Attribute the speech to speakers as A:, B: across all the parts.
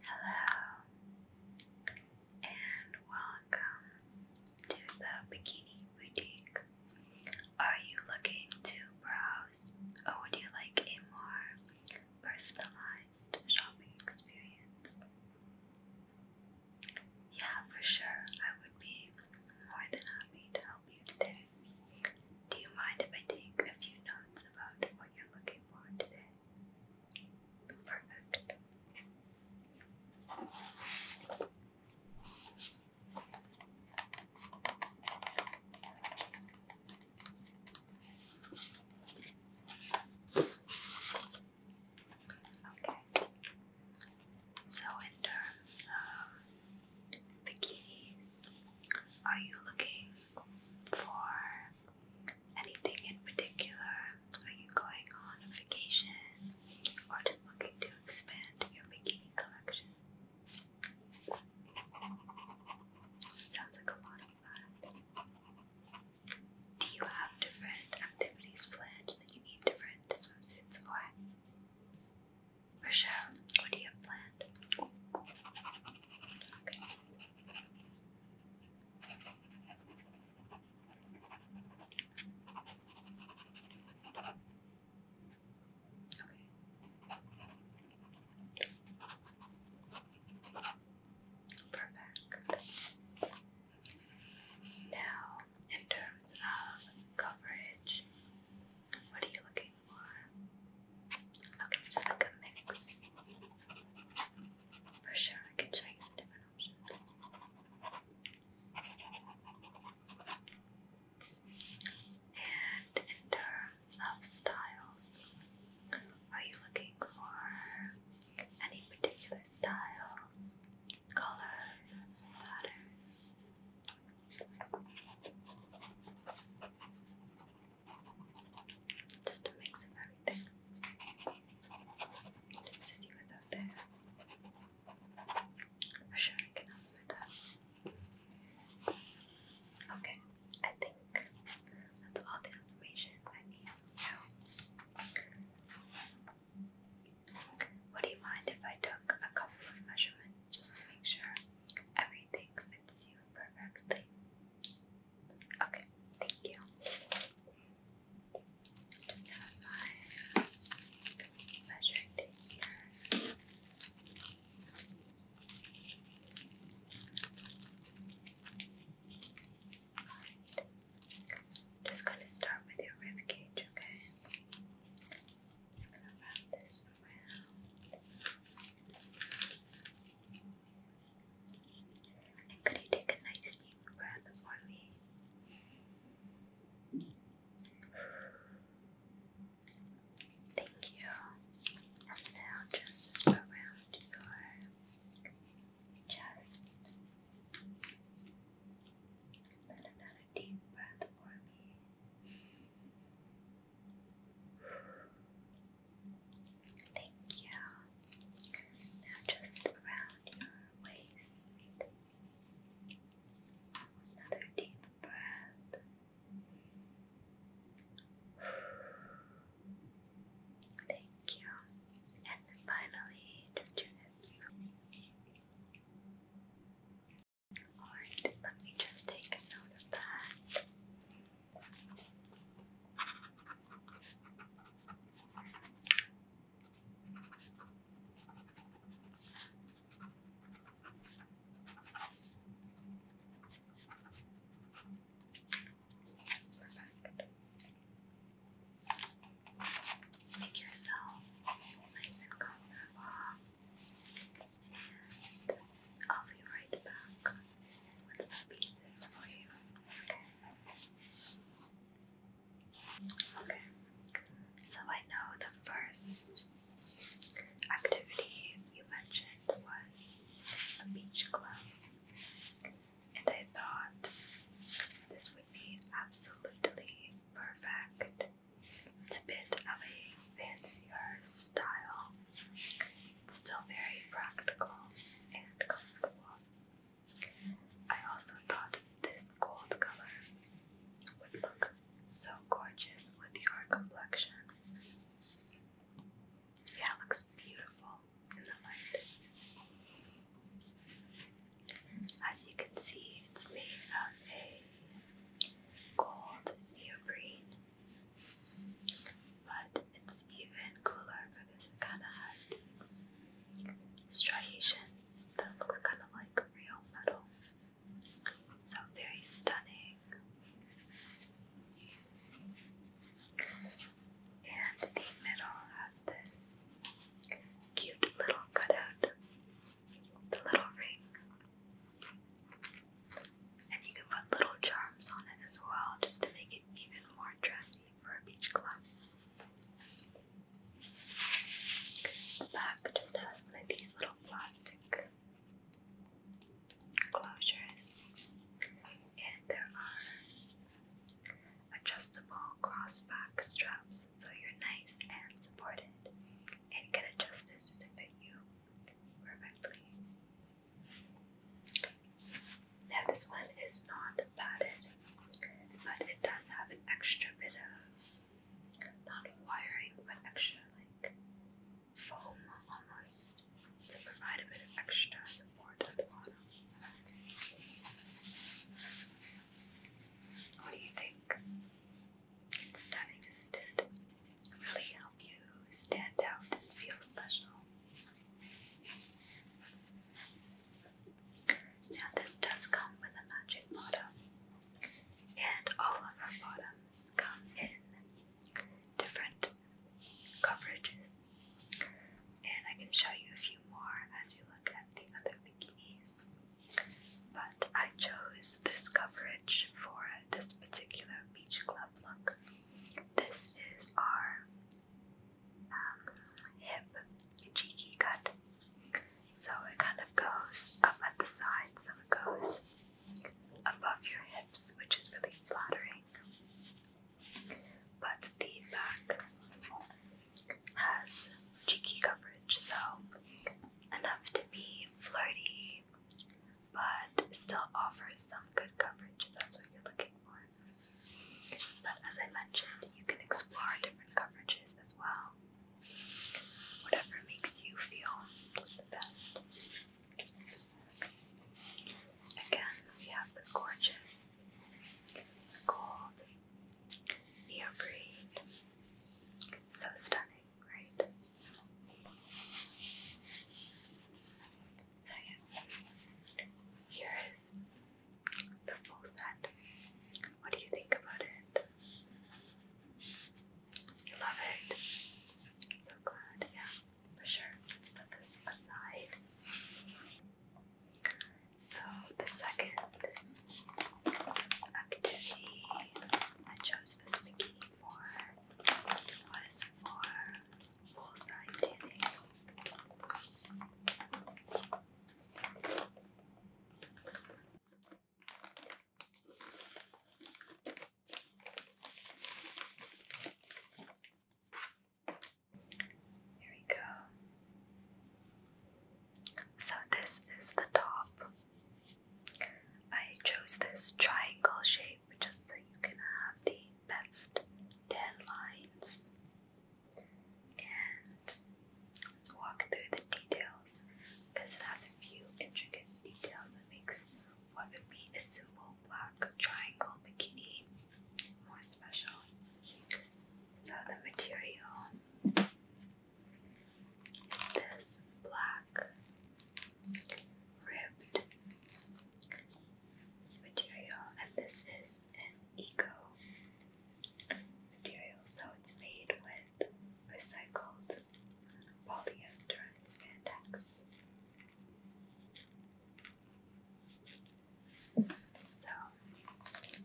A: Hello and welcome to the Bikini Boutique. Are you looking to browse or would you like a more personalized shopping experience? Yeah, for sure. I would be more than happy to help you today. Do you mind if I take a few notes about what you're looking for today? Perfect. Okay. So, in terms of bikinis, are you looking for anything in particular? Are you going on a vacation or just looking to expand your bikini collection? Sounds like a lot of fun. Do you have different activities planned that you need different swimsuits for? Rochelle, what do you have planned? Perfect. Now, in terms of coverage, what are you looking for? Okay, just like a mix. For sure, I can show you some different options. And in terms of styles, are you looking for any particular styles, colors, patterns? Just a mix of everything. Just to see what's out there. For sure, I can help that. Okay, I think that's all the information I need now. Would you mind if I took a couple of measurements just to make sure everything fits you perfectly? Okay, thank you. Just have my measuring tape Just gonna start with your rib cage, okay? Just gonna wrap this around could you take a nice deep breath for me? Thank you. now just around your chest. Then another deep breath for me. Thank you. Now just around your waist. Another deep breath. Thank you. And finally, just your Alright, let me just take a note of that. Perfect. Make yourself nice and comfortable, I'll be right back. Okay. Okay. So I know the first activity you mentioned was a beach club, and I thought this would be absolutely perfect. It's a bit of a fancier style it's still very practical and comfortable. I also thought this gold color would look so gorgeous with your complexion. Yeah, looks beautiful in the light. As you can see, it's made of a gold neoprene but it's even cooler because it kind of has these striations that look kind of like real metal. So very stunning. And the middle has this cute little cutout. It's little ring. And you can put little charms on it as well just to make even more dressy for a beach club. The back just has one of these little plastic closures, and there are adjustable crossback straps so you're nice and supported and can adjust it to fit you perfectly. Now this one is not padded, but it does have an extra bit of not wiring but extra like foam almost to provide a bit of extra support at the bottom. What do you think? It's stunning, isn't it? Really help you stand out and feel special. Now this does come with a matching bottom, and all of our bottoms come in different coverages. And I can show you a few more as you look at the other bikinis. But I chose this coverage for this particular beach club look. This is our um, hip cheeky cut. So it kind of goes up at the side, so it goes above your hips, which is really flattering. But the back has cheeky coverage, so enough to be flirty, but it still offers some good coverage if that's what you're looking for. But as I mentioned, you can explore different coverages as well. Whatever makes you feel the best. Again, we have the gorgeous gold neoprene. So stunning, right? So here is the full set. What do you think about it? You love it? So glad, yeah, for sure. Let's put this aside. So the second activity I chose this bikini for was for full side go. So, this is the top. I chose this triangle shape just so you can have the best tan And let's walk through the details because it has a few intricate details that makes what would be a simple black triangle bikini more special. So the material is this black ribbed material, and this is an eco material, so it's made with recycled polyester and spandex. So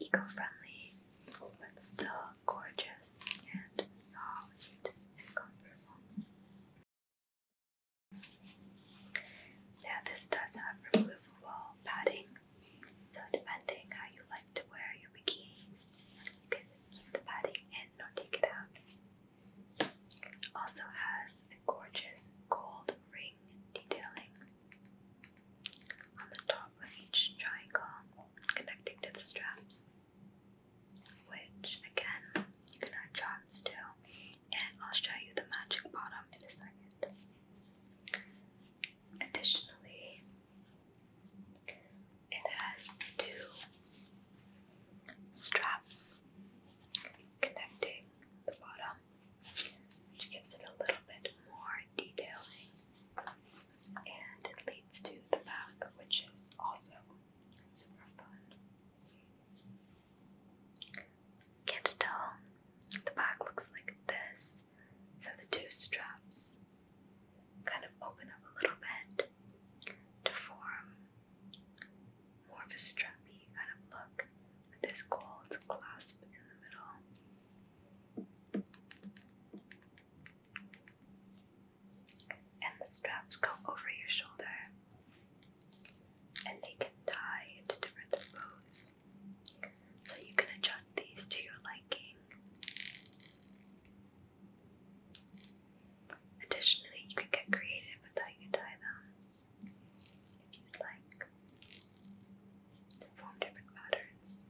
A: eco-friendly, but still gorgeous and soft and comfortable. Now this does have removable padding, so depending how you like to wear your bikinis, you can keep the padding in or take it out. Also has a gorgeous gold ring detailing on the top of each triangle connecting to the straps, which again you can add charms too and I'll show you the magic bottom in a second. Additionally, it has two straps connecting the bottom, which gives it a little bit more detailing, and it leads to the back, which is also super fun. Can't tell. The back looks like this. So the two straps kind of open up a little bit to form more of a strappy kind of look with this gold clasp in the middle. And the straps go over your shoulder and they can die into different poses. So you can adjust these to your liking. Additionally, you can get creative with how you dye them if you like to form different patterns.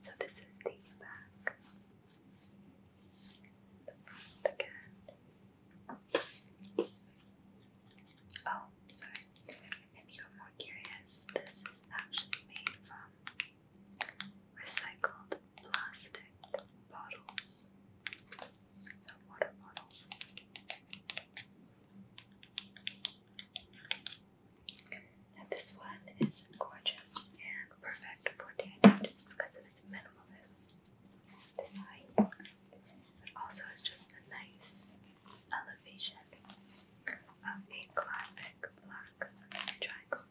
A: So, this is the back, the front again, Oh, sorry. If you're more curious, this is actually made from recycled plastic bottles. So, water bottles. Now, this one is gorgeous and perfect for Daniel just because of its minimalist design, also it's just a nice elevation of a classic black triangle.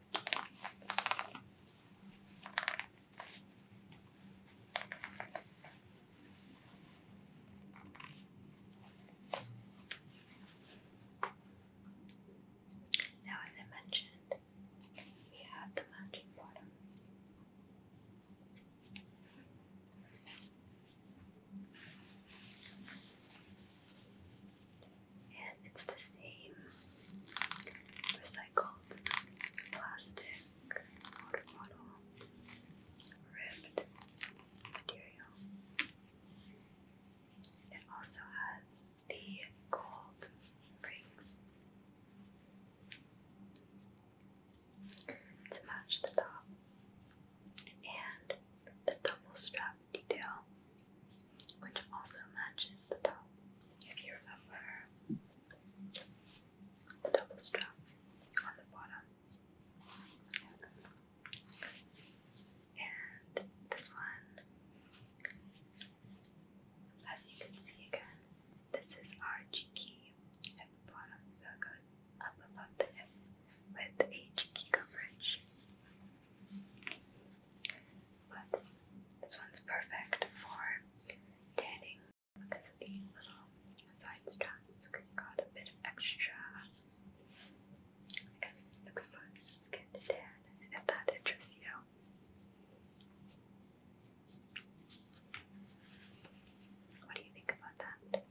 A: Now, as I mentioned, we have the matching bottoms. And it's the same recycled plastic water bottle ribbed material. It also has the gold rings to match the top and the double strap detail, which also matches the top. If you remember the double strap on the bottom. And this one as you can see again, this is key at the bottom, so it goes up above the hip with a cheeky coverage. But this one's perfect for tanning because of these little side straps, because it got a bit of extra I guess, exposed skin to tan, if that interests you. What do you think about that?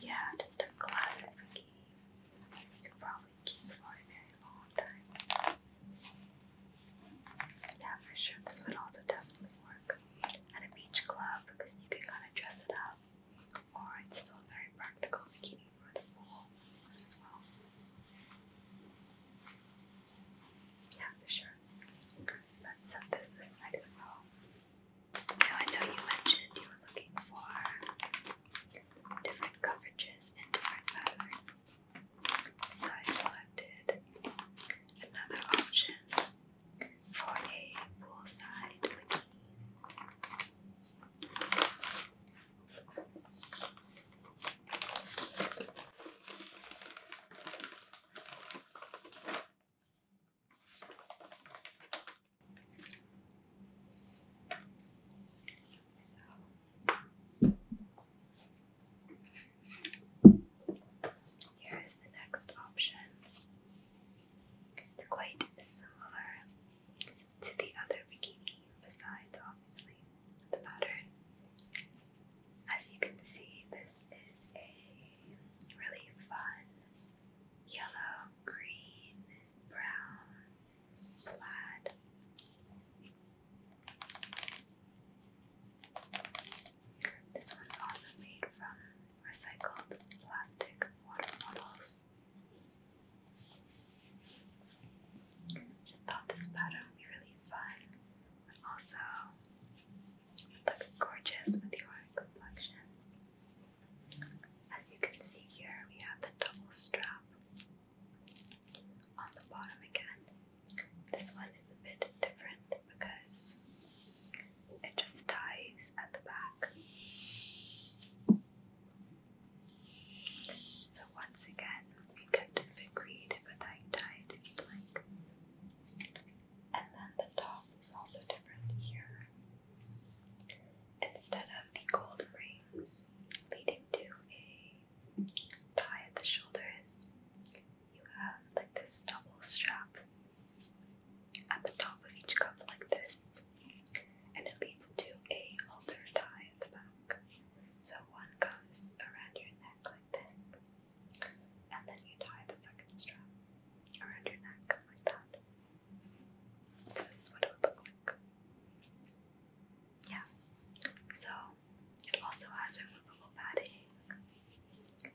A: Yeah, just a classic key. You could probably keep for a very long time. Yeah, for sure. This would also definitely work at a beach club because you can kind of dress it up or it's still very practical bikini for the pool as well. Yeah, for sure. Let's set this aside as well. Now I know you mentioned you were looking for different coverages and different patterns. So I selected another option for a poolside so here is the next option. Quite similar to the other bikini, besides obviously the pattern. As you can see, this is a really fun yellow, green, brown plaid. This one's also made from recycled plastic water bottles. Just thought this pattern would be really fun, but also look gorgeous with your complexion. As you can see here, we have the double strap on the bottom again. This one is a bit different because it just ties at the back. So once again, you get to be creative with how tie if you like. And then the top is also different here. Instead of the gold rings leading to a tie at the shoulders, you have like this double strap at the top of each cup like this, and it leads into a halter tie at the back. So one goes around your neck like this, and then you tie the second strap around your neck like that. this is what it would look like. Yeah. So it also has removable padding,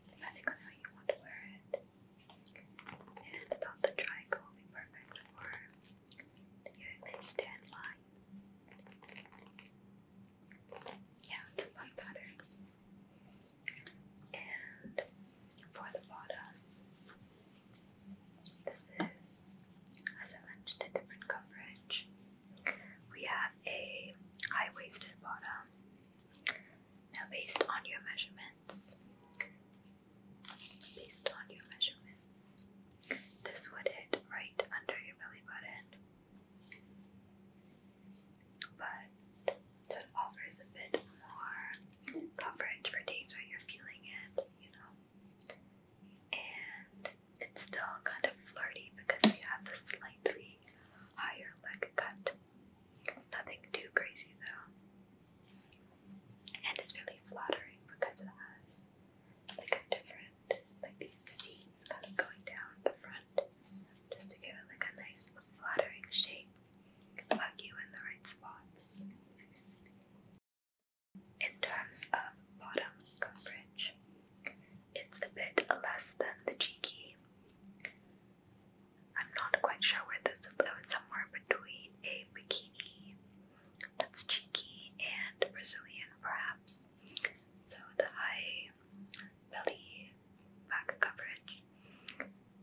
A: depending on how you want to wear it. And I the triangle would be perfect for to get tan lines. Yeah, it's a fun pattern. And for the bottom, this is, as I mentioned, a different coverage. We have a high waisted bottom. Now, based on your measurements, based on your measurements. This would hit right under your belly button, but it offers a bit more coverage for days where you're feeling it, you know. And it's still kind of flirty because we have the slightly higher leg cut Nothing too crazy though. And it's really flattering because it has like a different, like these seams kind of going down the front just to give it like a nice flattering shape. Plug you in the right spots. In terms of bottom coverage, it's a bit less than the cheeky. I'm not quite sure where this is, but it's somewhere between a bikini that's cheeky and Brazilian, perhaps. So the high belly back coverage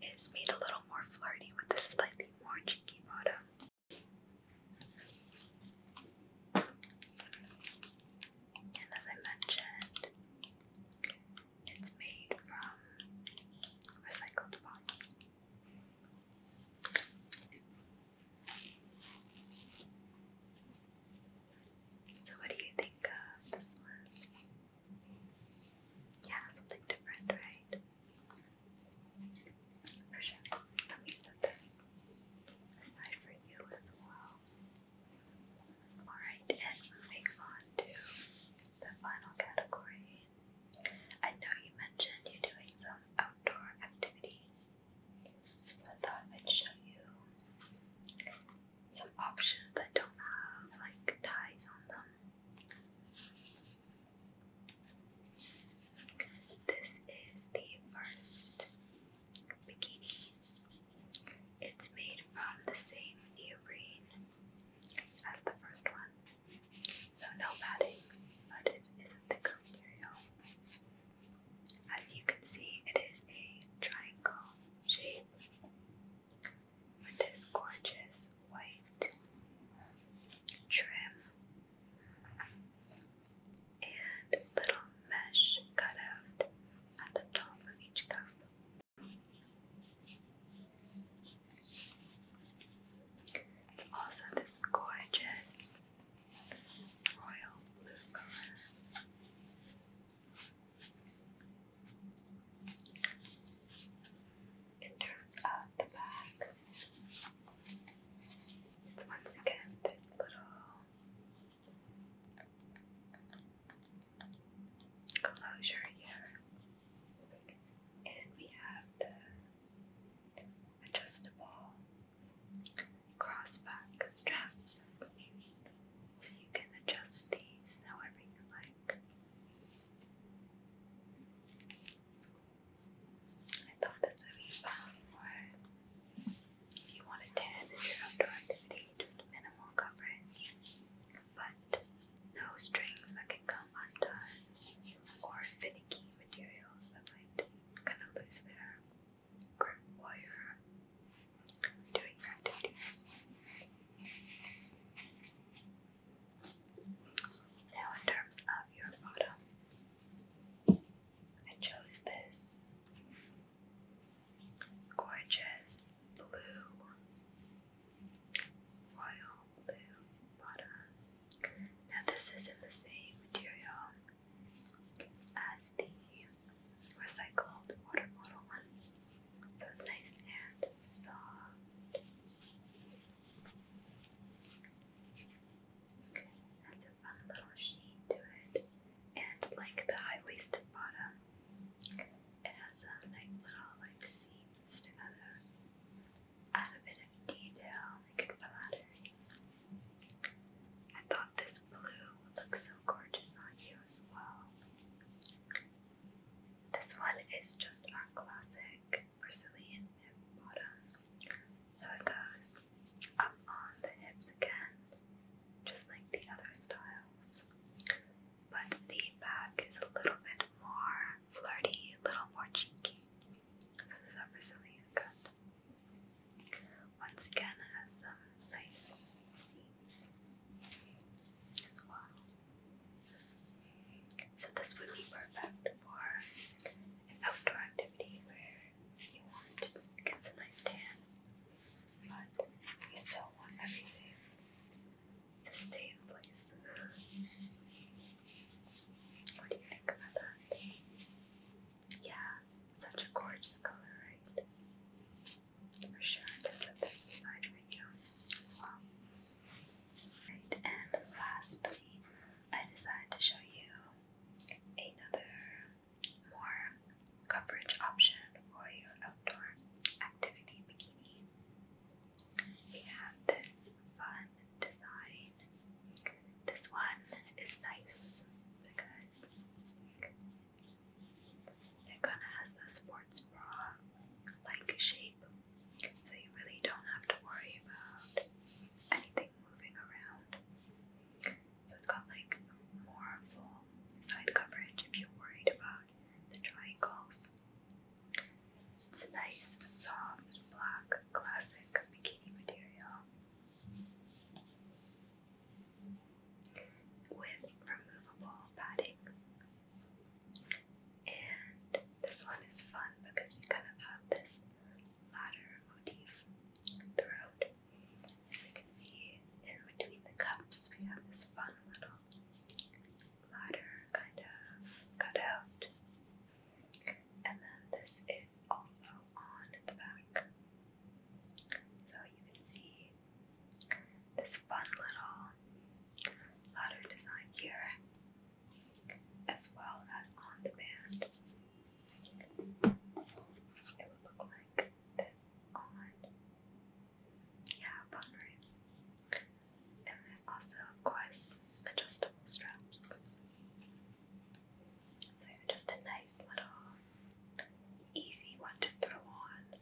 A: is made a little more flirty with a slightly more cheeky bottom. And as I mentioned, it's made from recycled bottles. So, what do you think of this one? Yeah, something different, right? For sure. Let me set this aside for you as well. Alright, and moving on to the final category. I know you mentioned you're doing some outdoor activities, so I thought I'd show you some options that don't have like ties on them. This is the first bikini. It's made from the same neoprene as the first one. So no padding, but it is isn't thicker material. As you can see, it is a triangle shape with this gorgeous white trim and little mesh cut out at the top of each cup. It's Also, this gorgeous royal blue color. In terms of the back, it's once again this little closure here. And we have the adjustable crossback straps. So you can adjust these however you like. I thought this would be fun for if you want to tan in your outdoor activity, just minimal coverage but no strings that can come undone or finicky materials that might kind of lose their grip while you're doing activities. Now, in terms of your bottom, I chose this gorgeous blue royal blue bottom. Now this is in the same material as the recycled water bottle one. it's nice and soft. Has a fun little sheen to it. And like the high waisted bottom, it has a nice little like seam seams add a bit of detail, make it I thought this blue would so gorgeous on you as well. This one is just our classic Brazilian hip bottom. So it goes up on the hips again, just like the other styles but the back is a little bit more flirty, a little more cheeky. this is our Brazilian cut. Once again, it has some nice seams as well. So this would be perfect for an outdoor activity where you want to get some nice tan, but you still want everything to stay in place. What do you think about that? Yeah, such a gorgeous color, right? For sure, I can put this aside for you well. Right, and lastly, I decided to show you another more coverage option for your outdoor activity bikini. We have this fun design. This one is nice because it kind of has the sports bra like shape, so you really don't have to worry about anything moving around. So it's got like more full side coverage if you're worried about the triangles. It's a nice, soft, black, classic bikini material with removable padding. And this one is fun because we kind of have this ladder motif throughout. As you can see, in between the cups, we have this fun little ladder kind of cut out. And then this is also on the back. So you can see this fun little ladder design here, as well as on the band. So it would look like this on yeah, fun, right? And there's also, of course, adjustable straps. So just a nice little, easy one to throw on.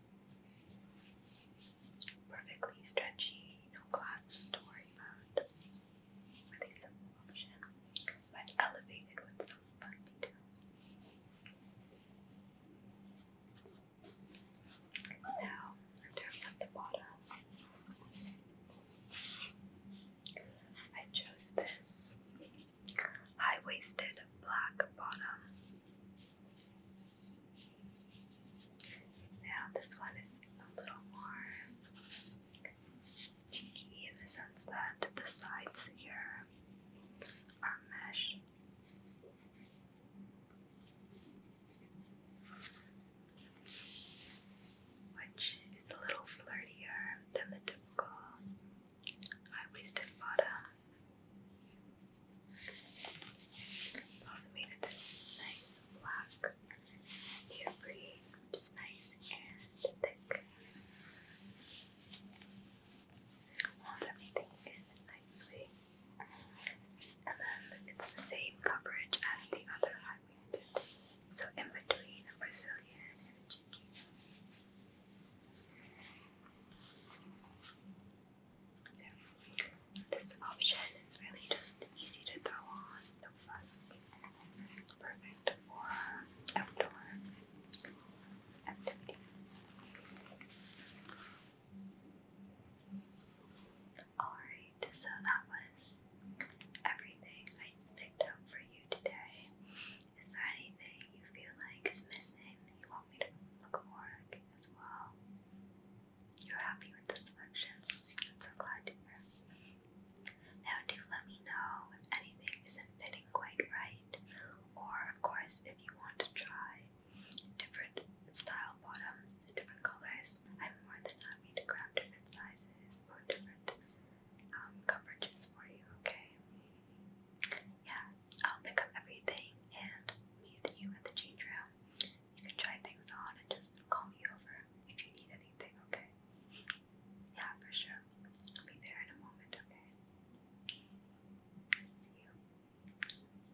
A: Perfectly stretchy, no clasps to worry about. Really simple option, but elevated with some fun details. Now, in terms the bottom, I chose this high waisted black bottom. Now, this one is a little more cheeky in the sense that the sides here are mesh which is a little flirtier than the typical high-waisted bottom. also made of this nice black ivory, which nice and thick. Holds everything in nicely. And then it's the same coverage as the other high waisted, so in between Brazilian and cheeky. So, this option is really just easy to throw on, no fuss. Perfect for outdoor activities. Alright, so that was everything I just picked out for you today. Is there anything you feel like is missing that you want me to look for as well? You're happy with the selections? I'm so glad to hear. Now, do let me know if anything isn't fitting quite right, or of course, if you want to try different style bottoms in different colors. I'm more than happy to grab different sizes or different um, coverages for you, okay? Yeah, I'll pick up everything and meet you at the change room. You can try things on and just call me over if you need anything, okay? Yeah, for sure. I'll be there in a moment, okay? See you.